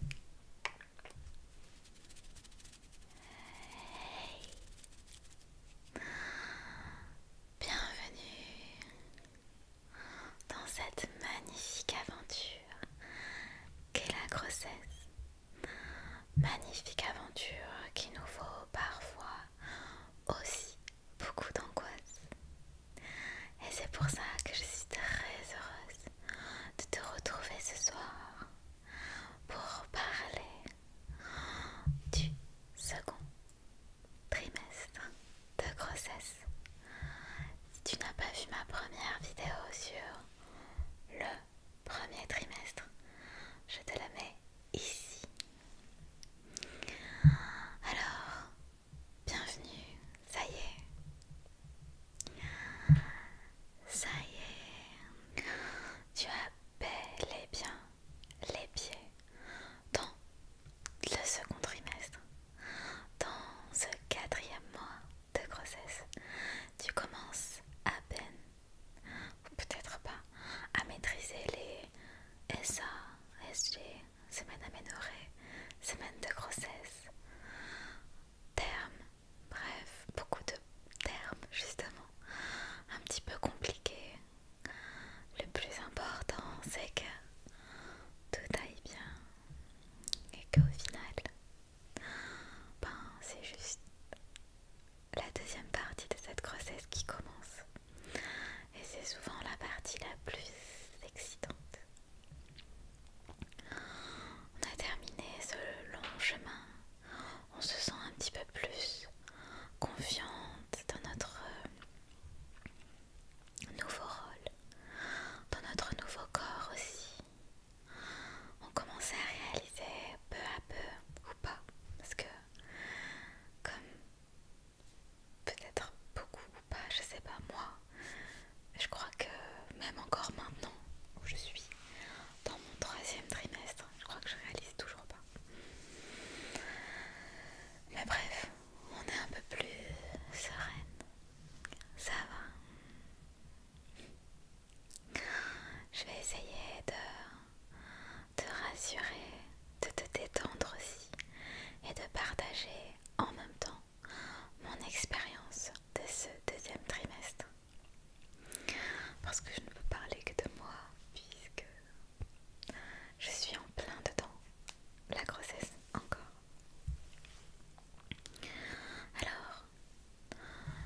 Bienvenue dans cette magnifique aventure qu'est la grossesse. Magnifique aventure qui nous vaut parfois aussi beaucoup d'angoisse. Et c'est pour ça que je suis très heureuse de te retrouver ce soir pour parler du second trimestre de grossesse. Si tu n'as pas vu ma première vidéo sur le premier trimestre, je te la mets ici. Alors, bienvenue ça y est. Ça y est. Tu as bel et bien les pieds dans le second trimestre, dans ce quatrième mois de grossesse. Tu commences à peine, ou peut-être pas, à maîtriser les SA, SG, semaine aménorée, semaine de grossesse, terme, Bref, beaucoup de termes justement, un petit peu compliqués. Le plus important, c'est que tout aille bien et qu'au final, ben, c'est juste la deuxième partie de cette grossesse qui commence. Et c'est souvent la partie la plus excitante. On a terminé ce long chemin. On se sent un petit peu plus confiante dans notre euh, nouveau rôle, dans notre nouveau corps aussi. On commence à réaliser peu à peu, ou pas, parce que comme peut-être beaucoup ou pas, je sais pas, moi je crois que même encore maintenant où je suis dans mon troisième trimestre, je crois que je réalise toujours pas. Mais bref, on est un peu plus sereine. Ça va. Je vais essayer de te rassurer, de te détendre aussi et de partager en même temps mon expérience de ce deuxième trimestre. Parce que je ne peux parler que de moi, puisque je suis en plein dedans, la grossesse encore. Alors,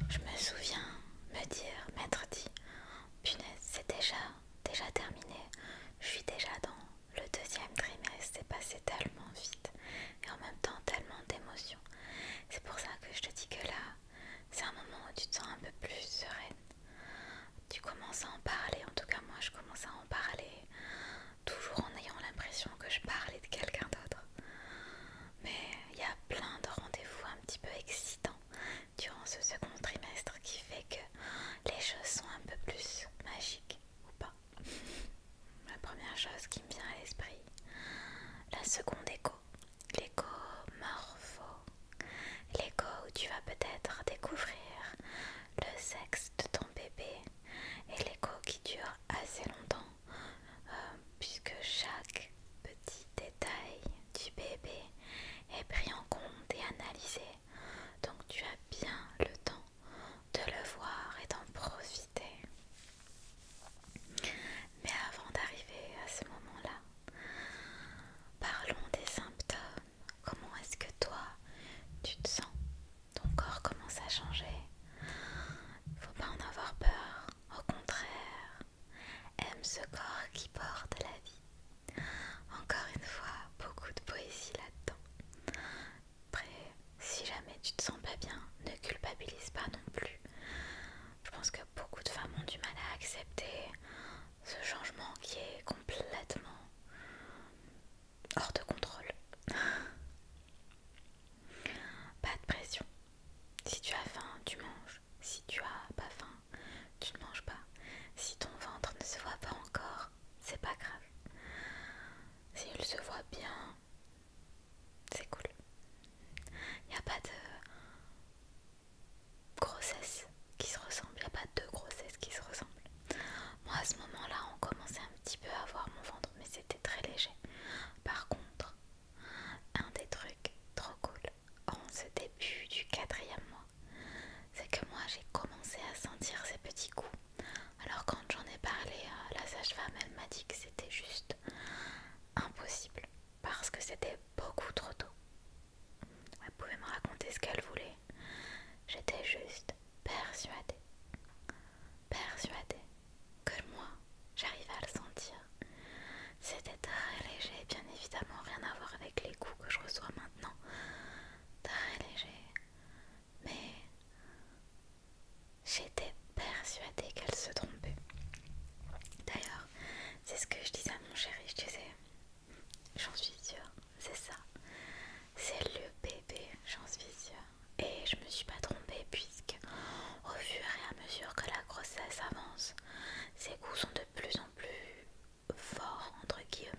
je me souviens me dire, m'être dit, punaise, c'est déjà, déjà terminé, je suis déjà dans le deuxième trimestre, c'est passé tellement vite, et en même temps tellement d'émotions. C'est pour ça que je te dis que là, c'est un moment où tu te sens un peu plus sereine. Tu commences à en parler, en tout cas moi je commence à en parler, toujours en ayant l'impression que je parlais de quelqu'un d'autre. Mais il y a plein de rendez-vous un petit peu excitants durant ce second trimestre qui fait que les choses sont un peu plus magiques ou pas la première chose qui me vient à l'esprit. La seconde écho, l'écho morpho, l'écho où tu vas peut-être découvrir le sexe de ton bébé et l'écho qui dure assez longtemps euh, puisque chaque petit détail du bébé est pris en compte et analysé. Donc tu as bien le temps de le voir et d'en profiter. Mais avant d'arriver à ce moment-là, parlons des symptômes. Comment est-ce que toi, tu te sens Ton corps commence à changer. Faut pas en avoir peur. Au contraire, aime ce corps qui porte la vie. Encore une fois, beaucoup de poésie là-dedans. Après, si jamais tu te sens pas bien, ne culpabilise pas non plus. Je pense que beaucoup de femmes ont du mal à accepter ce changement qui est complètement hors de contrôle. pas de pression. Si tu as faim, tu manges. Si tu as pas faim, tu ne manges pas. Si ton ventre ne se voit pas encore, c'est pas grave. S'il se voit bien, c'est cool. Il n'y a pas de grossesse qui se ressemble. Il n'y a pas de grossesse qui se ressemble. Moi à ce moment-là, on commençait un petit peu à voir mon ventre, mais c'était très léger. Par contre, un des trucs trop cool en ce début du quatrième mois, c'est que moi j'ai commencé à sentir ces petits coups alors quand j'en ai parlé à euh, la sage-femme, elle m'a dit que c'était juste impossible parce que c'était beaucoup trop tôt. Elle pouvait me raconter ce qu'elle voulait. J'étais juste persuadée, persuadée que moi, j'arrivais à le sentir. C'était très léger, bien évidemment, rien à voir avec les coups que je reçois maintenant. Très léger, mais J'étais persuadée qu'elle se trompait. D'ailleurs, c'est ce que je disais à mon chéri, je disais, j'en suis sûre, c'est ça. C'est le bébé, j'en suis sûre. Et je me suis pas trompée puisque au fur et à mesure que la grossesse avance, ses coups sont de plus en plus forts entre guillemets.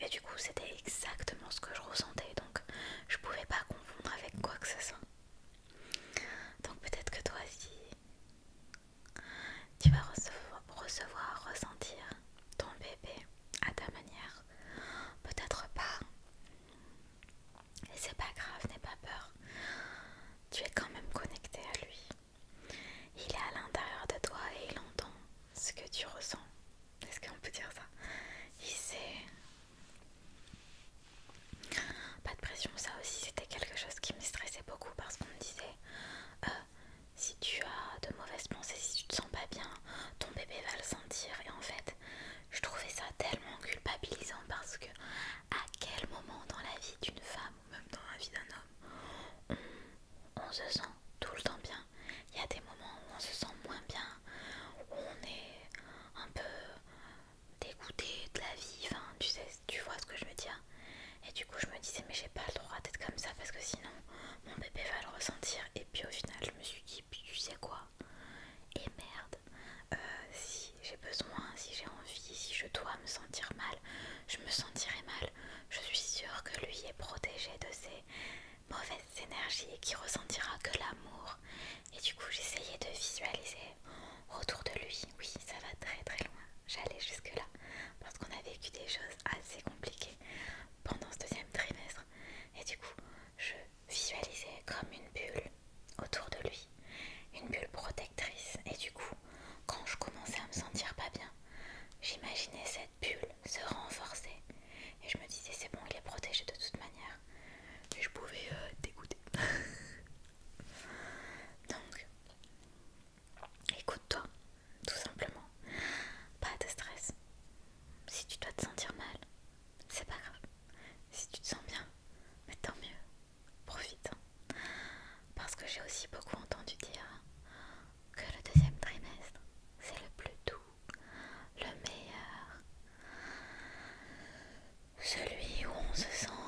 Et du coup c'était exactement ce que je ressentais. Donc je pouvais pas confondre avec quoi que ce soit. Donc peut-être que toi aussi, tu vas recevoir, recevoir ressentir ton bébé à ta manière. Peut-être pas. Et c'est pas grave, n'aie pas peur. Tu es quand même connecté à lui. Il est à l'intérieur de toi et il entend ce que tu ressens. Est-ce qu'on peut dire ça Il sait pas de pression, ça aussi c'était quelque chose qui me stressait beaucoup parce qu'on me disait euh, si tu as de mauvaises pensées, si tu te sens pas bien, ton bébé va le sentir. Et en fait, je trouvais ça tellement culpabilisant parce que à quel moment dans la vie d'une femme ou même dans la vie d'un homme on se sent tout le temps bien. Il y a des moments où on se sent moins bien, on est un peu dégoûté de la vie, enfin tu sais, tu vois ce que je veux dire. Et du coup je me disais mais j'ai pas le droit d'être comme ça parce que sinon mon bébé va le ressentir. Et puis au final je me suis dit tu sais quoi Et merde, euh, si j'ai besoin, si j'ai envie, si je dois me sentir mal, je me sentirai mal. Je suis sûre que lui est protégé de ses mauvaise énergie et qui ressentira que l'amour. Et du coup, j'essayais de visualiser autour de lui. Oui, ça va très très loin. J'allais jusque-là parce qu'on a vécu des choses assez compliquées pendant ce deuxième trimestre. Et du coup, je visualisais comme une bulle autour de lui, une bulle protectrice. Et du coup, quand je commençais à me sentir pas bien, j'imaginais cette bulle se renforcer. Et je me disais, c'est bon, il est protégé de toute manière et je pouvais euh, t'écouter. Donc, écoute-toi, tout simplement. Pas de stress. Si tu dois te sentir mal, c'est pas grave. Si tu te sens bien, mais tant mieux. Profite. Hein. Parce que j'ai aussi beaucoup entendu dire que le deuxième trimestre, c'est le plus doux le meilleur, celui où on se sent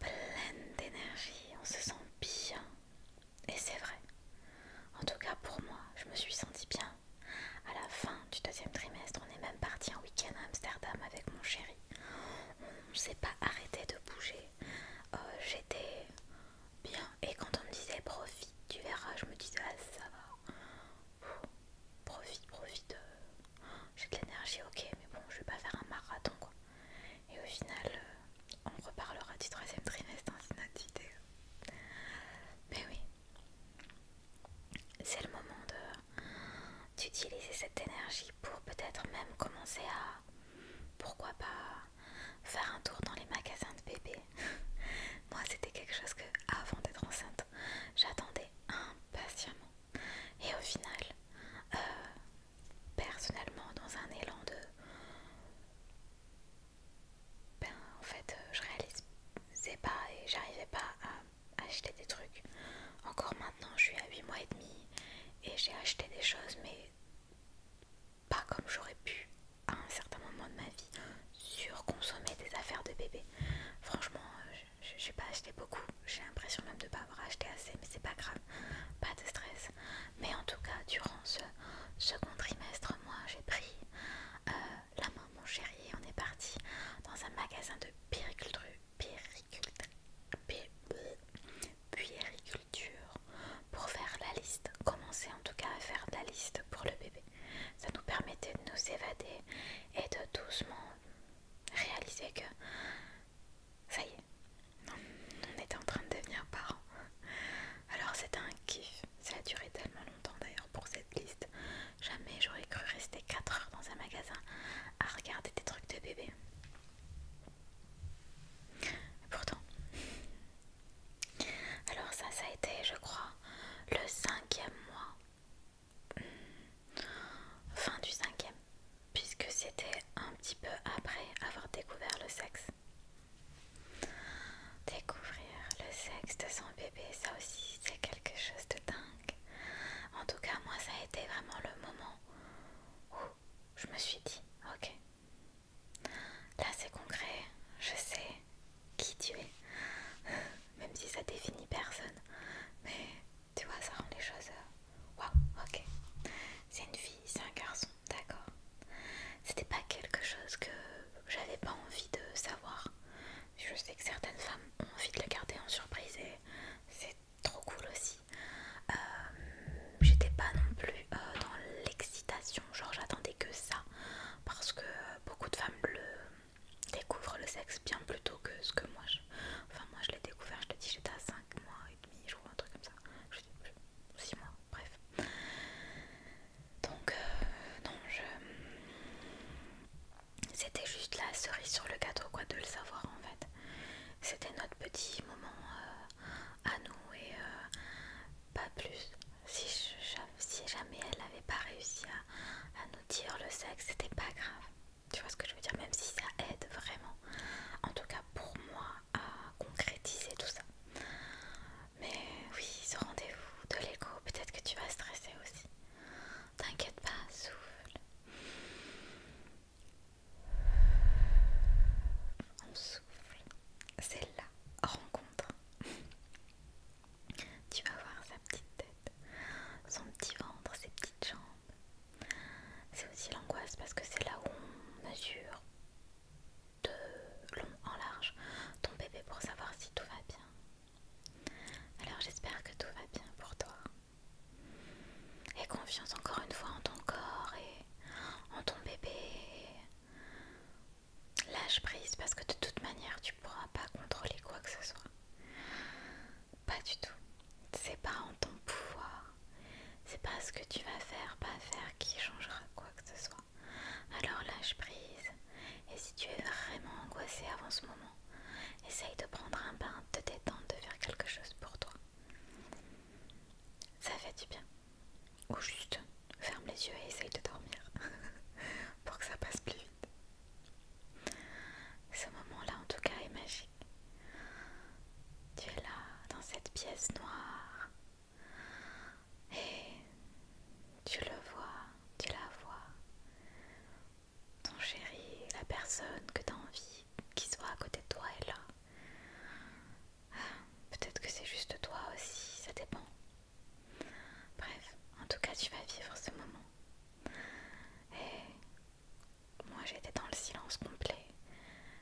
pleine d'énergie, on se sent bien. Et c'est vrai. En tout cas pour moi, je me suis sentie bien. À la fin du deuxième trimestre, on est même parti un week-end à Amsterdam avec mon chéri. On ne s'est pas arrêté de bouger. Euh, j'étais bien. Et quand on me disait profite, tu verras, je me disais ah ça va profite, profite. Euh, j'ai de l'énergie, ok, mais bon, je vais pas faire un marathon quoi. Et au final, euh, on reparlera du troisième trimestre, hein, c'est notre idée. Mais oui, c'est le moment d'utiliser cette énergie pour peut-être même commencer à, pourquoi pas, faire un tour dans les magasins de bébé Moi c'était quelque chose que avant d'être enceinte, j'attendais impatiemment. Et au final, euh, personnellement, dans un élan de... Ben, en fait, je réalisais pas et j'arrivais pas à acheter des trucs. Encore maintenant, je suis à 8 mois et demi et j'ai acheté des choses, mais pas comme j'aurais pu à un certain moment de ma vie surconsommer des affaires de bébé. Franchement, euh, j'ai pas acheté beaucoup. J'ai l'impression même de pas avoir acheté assez, mais c'est pas grave. Pas de stress. Mais en tout cas, durant ce second trimestre, moi, j'ai pris euh, la main mon chéri et on est parti dans un magasin de périculture. pour faire la liste, commencer en tout cas à faire la liste pour le bébé ça nous permettait de nous évader et de doucement réaliser que ça y est, on était en train de devenir parents. Alors c'était un kiff, ça a duré tellement longtemps d'ailleurs pour cette liste. Jamais j'aurais cru rester 4 heures dans un magasin à regarder des trucs de bébé. pourtant, alors ça, ça a été, je crois, le cinquième mois fin du cinquième, puisque c'était un petit peu après avoir découvert le sexe. Découvrir le sexe de son bébé, ça aussi c'est quelque chose de dingue. En tout cas, moi ça a été vraiment le moment où je me suis dit, ok, là c'est concret, je sais, qui tu es, même si ça définit personne. Mais tu vois, ça rend les choses. Euh, waouh, ok. C'est une fille, c'est un garçon, d'accord. C'était pas quelque chose que j'avais pas envie de savoir. Je sais que certaines femmes ont envie de le garder en surprise et c'est trop cool aussi. Euh, j'étais pas non plus euh, dans l'excitation, genre j'attendais que ça parce que beaucoup de femmes le Découvre le sexe bien plus tôt que ce que moi je... Enfin moi je l'ai découvert, je te dis j'étais à 5 mois et demi, je crois, un truc comme ça. Je 6 mois, bref. Donc euh, non, je... C'était juste la cerise sur le cadeau quoi, de le savoir en fait. C'était notre petit moment euh, à nous et euh, pas plus si, jamais elle n'avait pas réussi à, nous dire le sexe, c'était pas grave. Tu vois ce que je veux dire, même si ça aide vraiment. En tout cas pour moi à concrétiser tout ça. Mais oui, ce rendez-vous de l'écho, peut-être que tu vas stresser aussi. T'inquiète pas, souffle. On souffle. C'est la rencontre. Tu vas voir sa petite tête, son petit ventre, ses petites jambes. C'est aussi l'angoisse parce que c'est là où on mesure de long en large ton bébé pour savoir si tout va bien. Alors j'espère que tout va bien pour toi. Et confiance encore une fois en ton corps et en ton bébé. Lâche prise parce que de toute manière tu pourras pas contrôler quoi que ce soit. Pas du tout. C'est pas en ton pouvoir. C'est pas ce que tu vas faire, pas faire qui changera quoi que ce soit. Alors lâche prise. Et si tu es vraiment angoissé avant ce moment, essaye de prendre un bain, de te détendre, de faire quelque chose pour toi. Ça fait du bien. Ou juste ferme les yeux et essaye de dormir. pour que ça passe plus vite. Ce moment-là, en tout cas, est magique. Tu es là, dans cette pièce noire, et tu le vois, tu la vois. Ton chéri, la personne que tu as envie qui soit à côté de toi est là. Ah, peut-être que c'est juste toi aussi, ça dépend. Bref, en tout cas, tu vas vivre ce moment. Et moi, j'étais dans le silence complet.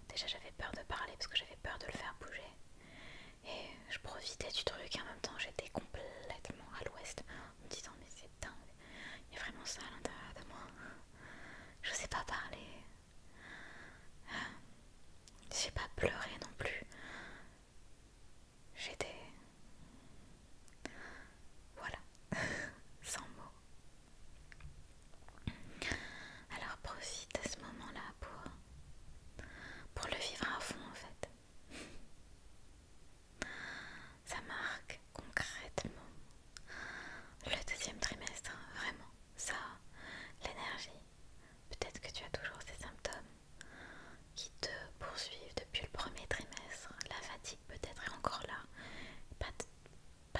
Déjà, j'avais peur de parler parce que j'avais peur de le faire bouger. Et je profitais du truc et en même temps, j'étais complètement à l'ouest en me disant Mais c'est dingue, il y a vraiment ça à l'intérieur de moi. Je sais pas parler. Euh, je sais pas pleurer non plus. J'étais... Voilà, sans mots. Alors profite de ce moment-là pour... pour le vivre à fond en fait. Ça marque concrètement le deuxième trimestre, hein, vraiment. Ça, l'énergie. Peut-être que tu as toujours ces symptômes qui te poursuivent depuis le premier trimestre. La fatigue peut-être est encore là. Pas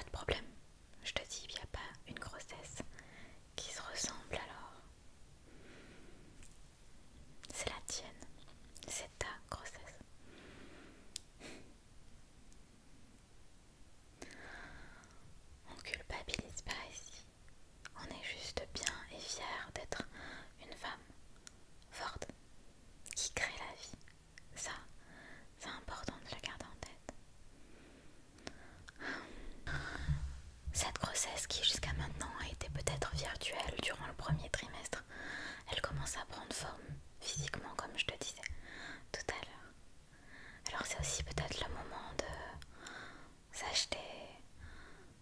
de, problème. Je te dis, il n'y a pas une grossesse qui se ressemble alors. C'est la tienne. C'est ta grossesse. On culpabilise pas ici. On est juste bien et fier d'être une femme forte qui crée la vie. Ça, c'est important de la garder en tête. Cette grossesse qui jusqu'à maintenant a été peut-être virtuelle durant le premier trimestre, elle commence à prendre forme physiquement comme je te disais tout à l'heure. Alors c'est aussi peut-être le moment de s'acheter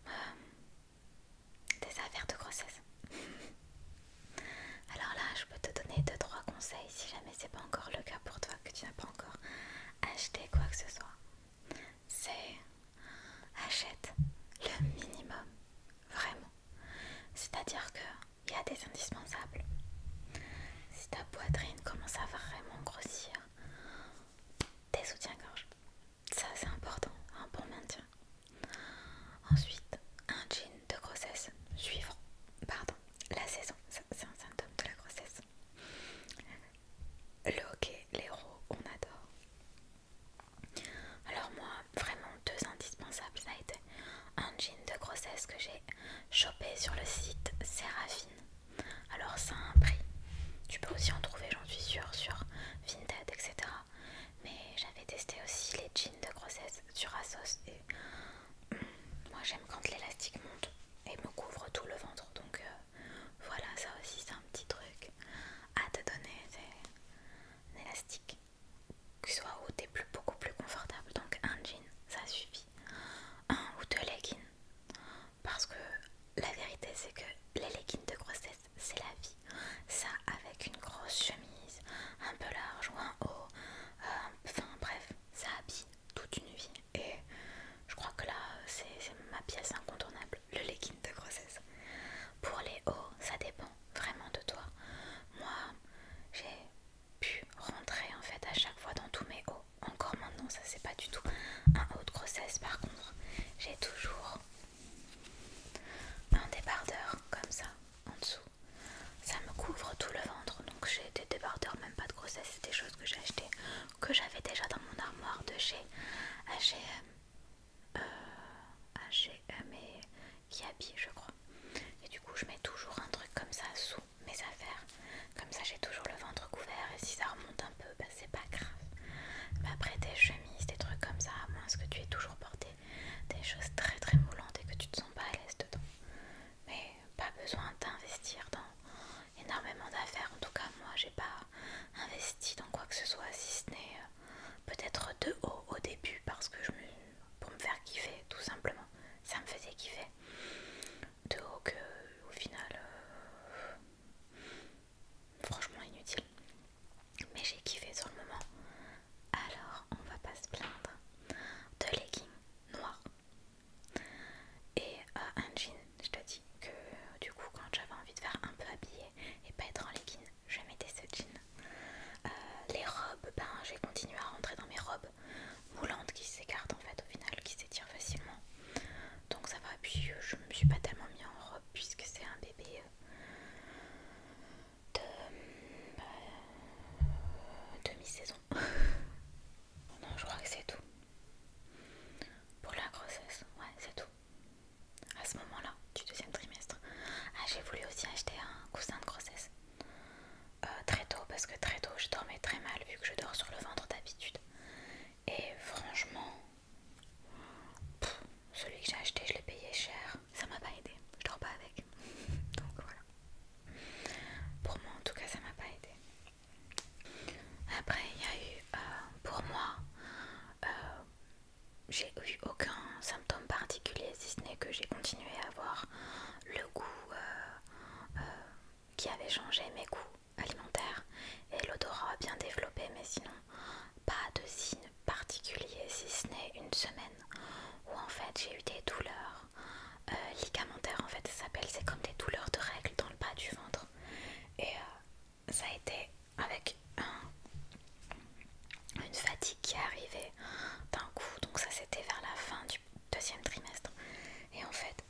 euh, des affaires de grossesse. Alors là, je peux te donner 2-3 conseils si jamais c'est pas encore le cas pour toi, que tu n'as pas encore acheté quoi que ce soit. C'est achète le minimum, vraiment. C'est-à-dire qu'il y a des indispensables. Si ta poitrine commence à vraiment grossir, tes soutiens-gorge, ça c'est important, un hein, bon maintien. Ensuite, un jean de grossesse suivant, pardon, la saison, c'est un symptôme de la grossesse. Le hockey, l'héros, on adore. Alors moi, vraiment deux indispensables, ça a été un jean de grossesse que j'ai chopé sur le site Séraphine. Alors ça a un prix. Tu peux aussi en trouver, j'en suis sûre, sur Vinted, etc. Mais j'avais testé aussi les jeans de grossesse sur Asos et mm, moi j'aime quand l'élastique monte et me couvre tout le ventre donc euh, voilà ça aussi c'est un petit truc à te donner c'est un élastique que soit où t'es plus, beaucoup plus confortable donc un jean ça suffit un ou deux leggings parce que la vérité c'est que les leggings de grossesse c'est la vie. Ça avec une grosse chemise, un peu large ou un haut, euh, enfin bref, ça habille toute une vie. Et je crois que là c'est ma pièce incontournable, le leggings de grossesse. Pour les hauts, ça dépend vraiment de toi. Moi, j'ai pu rentrer en fait à chaque fois dans tous mes hauts. Encore maintenant, ça c'est pas du tout un haut de grossesse. Par contre, j'ai toujours un débardeur comme ça, en dessous. Ça me couvre tout le ventre, donc j'ai des débardeurs, même pas de grossesse, c'est des choses que j'ai acheté que j'avais déjà dans mon armoire de chez H&M, H&M et Kiabi, je crois. Et du coup, je mets toujours un truc comme ça sous mes affaires, comme ça j'ai toujours le ventre couvert et si ça remonte un peu, bah, c'est pas grave. Mais après des chemises, des trucs comme ça, à moins que tu aies toujours porté des choses très très moulantes et que tu te sens pas à l'aise dedans. Mais pas besoin d'investir dans énormément d'affaires. En tout cas, moi j'ai pas investi dans quoi que ce soit, si ce n'est euh, peut-être de haut au début parce que je me, pour me faire kiffer tout simplement. Ça me faisait kiffer. De haut que au final. Euh, franchement inutile. Mais j'ai kiffé sur le moment. Alors, on va pas se plaindre. De leggings noirs et euh, un jean. Je te dis que du coup, quand j'avais envie de faire un peu habillé et pas être en leggings, je mettais ce jean. Euh, les robes, ben j'ai continué à rentrer dans mes robes moulantes qui s'écartent en fait au final, qui s'étirent facilement donc ça va puis euh, je me suis pas tellement mis en robe puisque c'est un bébé euh, de euh, demi-saison non je crois que c'est tout pour la grossesse ouais c'est tout à ce moment là du deuxième trimestre ah j'ai voulu aussi acheter un coussin de grossesse très tôt parce que très tôt je dormais très mal vu que je dors sur le ventre d'habitude et franchement celui que j'ai acheté, je l'ai payé cher. Ça m'a pas aidé. Je dors pas avec. Donc voilà. Pour moi, en tout cas, ça m'a pas aidé. Après, il y a eu, euh, pour moi, euh, j'ai eu aucun symptôme particulier, si ce n'est que j'ai continué à avoir le goût euh, qui avait changé mes goûts alimentaire et l'odorat bien développé, mais sinon pas de signe particulier si ce n'est une semaine où en fait j'ai eu des douleurs euh, ligamentaires en fait ça s'appelle, c'est comme des douleurs de règles dans le bas du ventre et euh, ça a été avec une fatigue qui est d'un coup donc ça c'était vers la fin du deuxième trimestre et en fait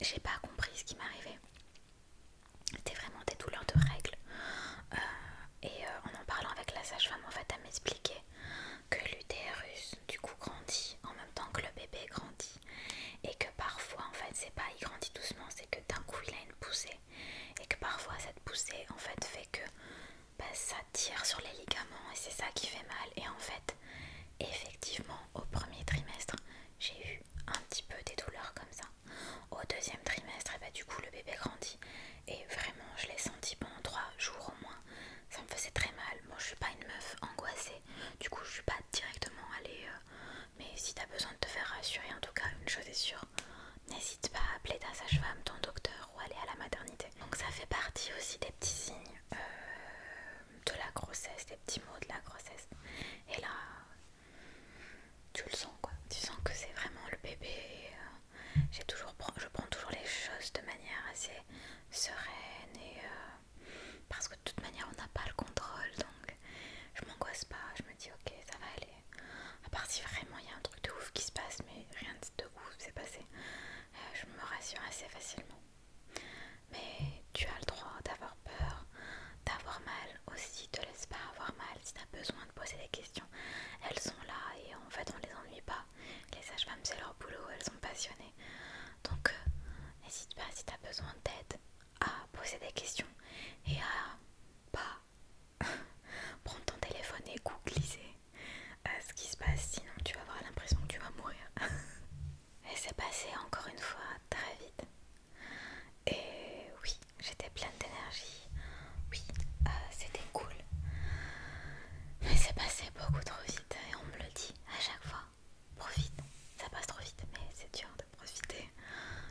j'ai pas compris ce qui m'arrivait. C'était vraiment des douleurs de règles. Euh, et euh, en en parlant avec la sage-femme, en fait, elle m'expliquait que l'utérus, du coup, grandit en même temps que le bébé grandit. Et que parfois, en fait, c'est pas il grandit doucement, c'est que d'un coup, il a une poussée. Et que parfois, cette poussée, en fait, fait que bah, ça tire sur les ligaments et c'est ça qui fait mal. Et en fait, effectivement, au premier trimestre, j'ai eu un petit peu des douleurs comme ça. Au deuxième trimestre, et eh bah, ben, du coup, le bébé grandit. Et vraiment, je l'ai senti pendant trois jours au moins. Ça me faisait très mal. Moi, je suis pas une meuf angoissée. Du coup, je suis pas directement allée. Euh, mais si t'as besoin de te faire rassurer, en tout cas, une chose est sûre, n'hésite pas à appeler ta sage-femme, ton docteur ou aller à la maternité. Donc, ça fait partie aussi des petits signes euh, de la grossesse, des petits mots de la grossesse. Et là, tu le sens quoi. Tu sens que c'est vraiment le bébé. Euh, j'ai toujours, je prends toujours les choses de manière assez sereine et euh, parce que de toute manière on n'a pas le contrôle donc je m'angoisse pas. Je me dis ok ça va aller. À part si vraiment il y a un truc de ouf qui se passe mais rien de ouf s'est passé. Euh, je me rassure assez facilement. Mais tu as le droit d'avoir peur, d'avoir mal aussi, te laisse pas avoir mal si t'as besoin de poser des questions. Elles sont là et en fait on les ennuie pas. Les sages-femmes c'est leur boulot, elles sont passionnées. Donc euh, n'hésite pas si t'as besoin d'aide à poser des questions et à pas prendre ton téléphone et googliser à euh, ce qui se passe, sinon tu vas avoir l'impression que tu vas mourir. et c'est passé encore une fois très vite. Et oui, j'étais pleine d'énergie. Oui, euh, c'était cool. Mais c'est passé beaucoup trop vite et on me le dit à chaque fois. Profite, ça passe trop vite, mais c'est dur de profiter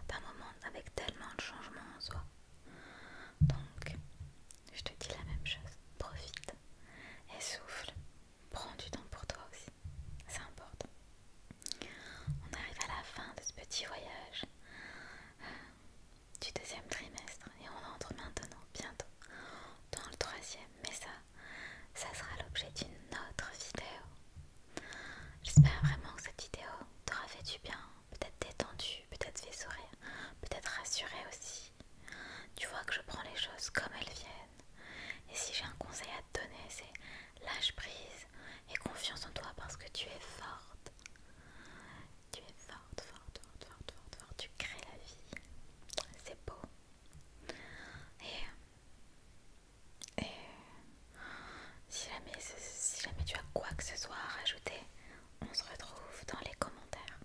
d'un moment avec tellement de changements en soi. Donc, je te dis la même chose. Profite et souffle. Prends du temps pour toi aussi. C'est important. On arrive à la fin de ce petit voyage du deuxième trimestre et on entre maintenant bientôt dans le troisième. Mais ça, ça sera l'objet d'une autre vidéo. J'espère vraiment que cette vidéo t'aura fait du bien, peut-être détendu, peut-être fait sourire, peut-être rassuré aussi. Tu vois que je prends les choses comme elles viennent. Et si j'ai un conseil à te donner, c'est lâche prise et confiance en toi parce que tu es forte. Tu es forte, forte, forte, forte, forte, forte. Tu crées la vie. C'est beau. Et, et si, jamais, si jamais tu as quoi que ce soit à rajouter, on se retrouve dans les commentaires.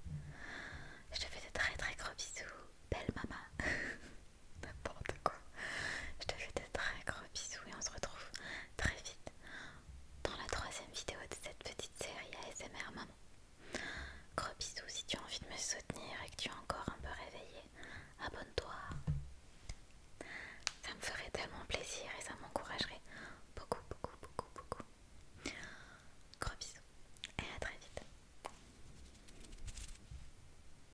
Je te fais de très très gros bisous. Belle maman. N'importe quoi. Je te fais de très gros bisous et on se retrouve très vite dans la troisième vidéo de cette petite série ASMR Maman. Gros bisous, si tu as envie de me soutenir et que tu es encore un peu réveillé, abonne-toi. Ça me ferait tellement plaisir et ça m'encouragerait beaucoup, beaucoup, beaucoup, beaucoup. Gros bisous et à très vite.